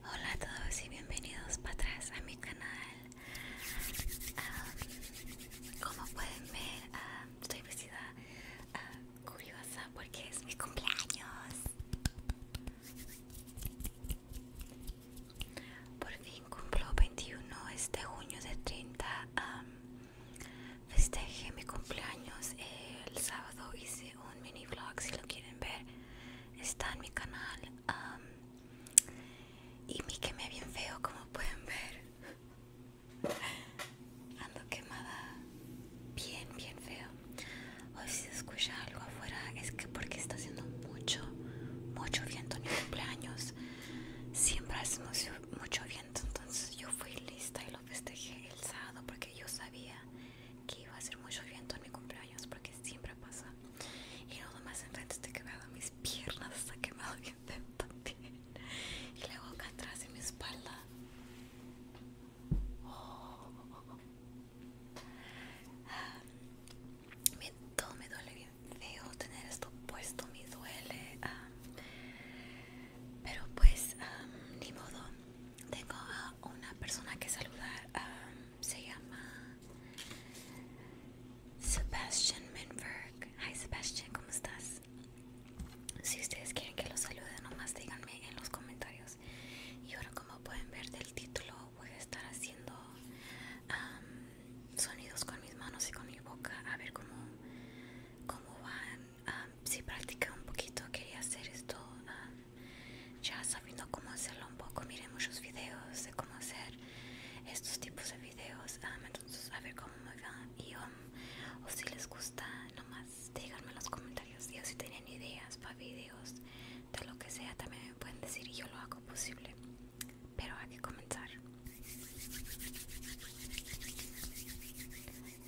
Hola a todos y bienvenidos para atrás a mi canal. Ah, como pueden ver, ah, estoy vestida ah, curiosa porque es mi cumpleaños. Por fin cumplo 21 este junio de 30. festejé mi cumpleaños el sábado, hice un mini vlog si lo quieren ver está en mi canal y me quemé bien feo como pueden ver ando quemada bien bien feo hoy si se escucha algo afuera es que porque está haciendo mucho mucho viento en mi cumpleaños siempre hace mucho viento entonces yo fui lista y lo festejé el sábado porque yo sabía que iba a hacer mucho viento en mi cumpleaños porque siempre pasa y nada más enfrente está quemado mis piernas está quemado bien también y la boca atrás en mi espalda oh, me, todo me duele bien feo tener esto puesto me duele ah, pero pues, ni modo. Tengo a una persona que saludar. se llama Sebastian Minberg. Hi Sebastian, ¿cómo estás? Si ustedes quieren que los salude, nomás díganme en los comentarios. Y ahora, como pueden ver del título, voy a estar haciendo sonidos con mis manos y con mi boca. A ver cómo, cómo van Ah, si practiqué un poquito quería hacer esto ah, ya sabiendo cómo hacerlo un poco miré muchos videos de cómo hacer estos tipos de videos ah, entonces a ver cómo me va y um, o si les gusta nomás díganme en los comentarios y si tienen ideas para videos de lo que sea también me pueden decir y yo lo hago posible pero hay que comenzar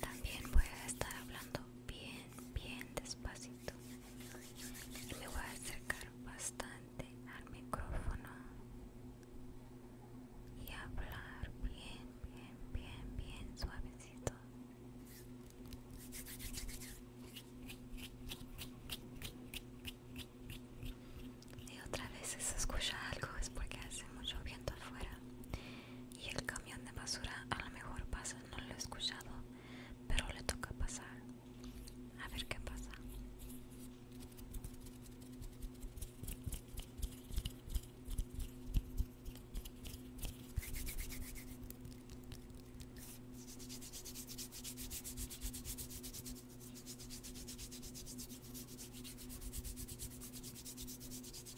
también voy a estar hablando bien, bien despacito. me voy a acercar bastante al micrófono y hablar bien, bien, bien, bien suavecito. Y otra vez se escucha algo es porque hace mucho viento afuera y el camión de basura a lo mejor pasa, no lo he escuchado, pero le toca pasar. A ver qué pasa.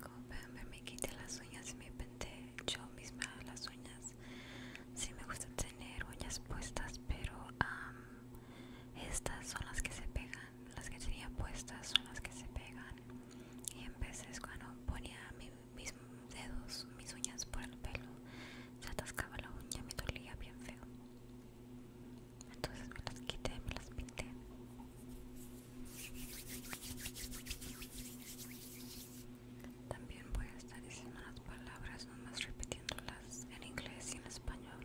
Como pueden me quité las uñas y me pinté yo misma las uñas. si me gusta tener uñas puestas, pero estas son las que se pegan. Las que tenía puestas son las que se pegan. Y en veces cuando ponía mis dedos, mis uñas por el pelo, se atascaba la uña, me dolía bien feo entonces me las quité me las pinté también voy a estar diciendo las palabras nomás repitiéndolas en inglés y en español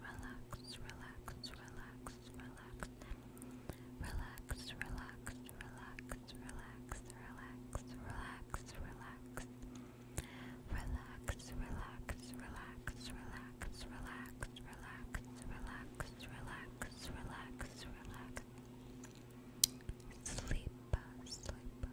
relax, relax, relax, relax. Relax, relax, relax, relax, relax, relax, relax. Relax, relax, relax, relax, relax, relax, relax, relax, relax, relax. Sleep, sleep,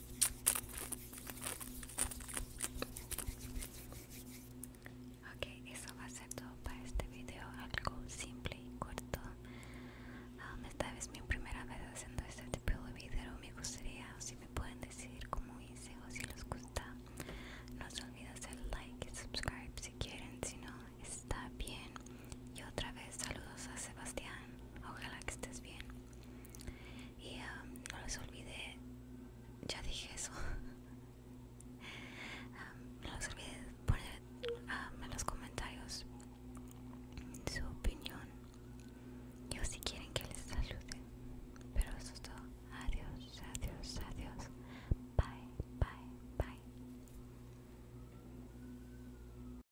Ok, eso va a ser todo para este video, algo simple y corto. Ah, esta vez es mi primera vez haciendo este tipo de video. Me gustaría si me pueden decir cómo hice o si les gusta. No se olviden hacer like y subscribe si quieren, si no, está bien. Y otra vez saludos a Sebastián. Ojalá que estés bien y um, no les olvide ya dije eso um, no les olvide poner um, en los comentarios su opinión yo si quieren que les salude pero eso es todo adiós adiós adiós bye bye bye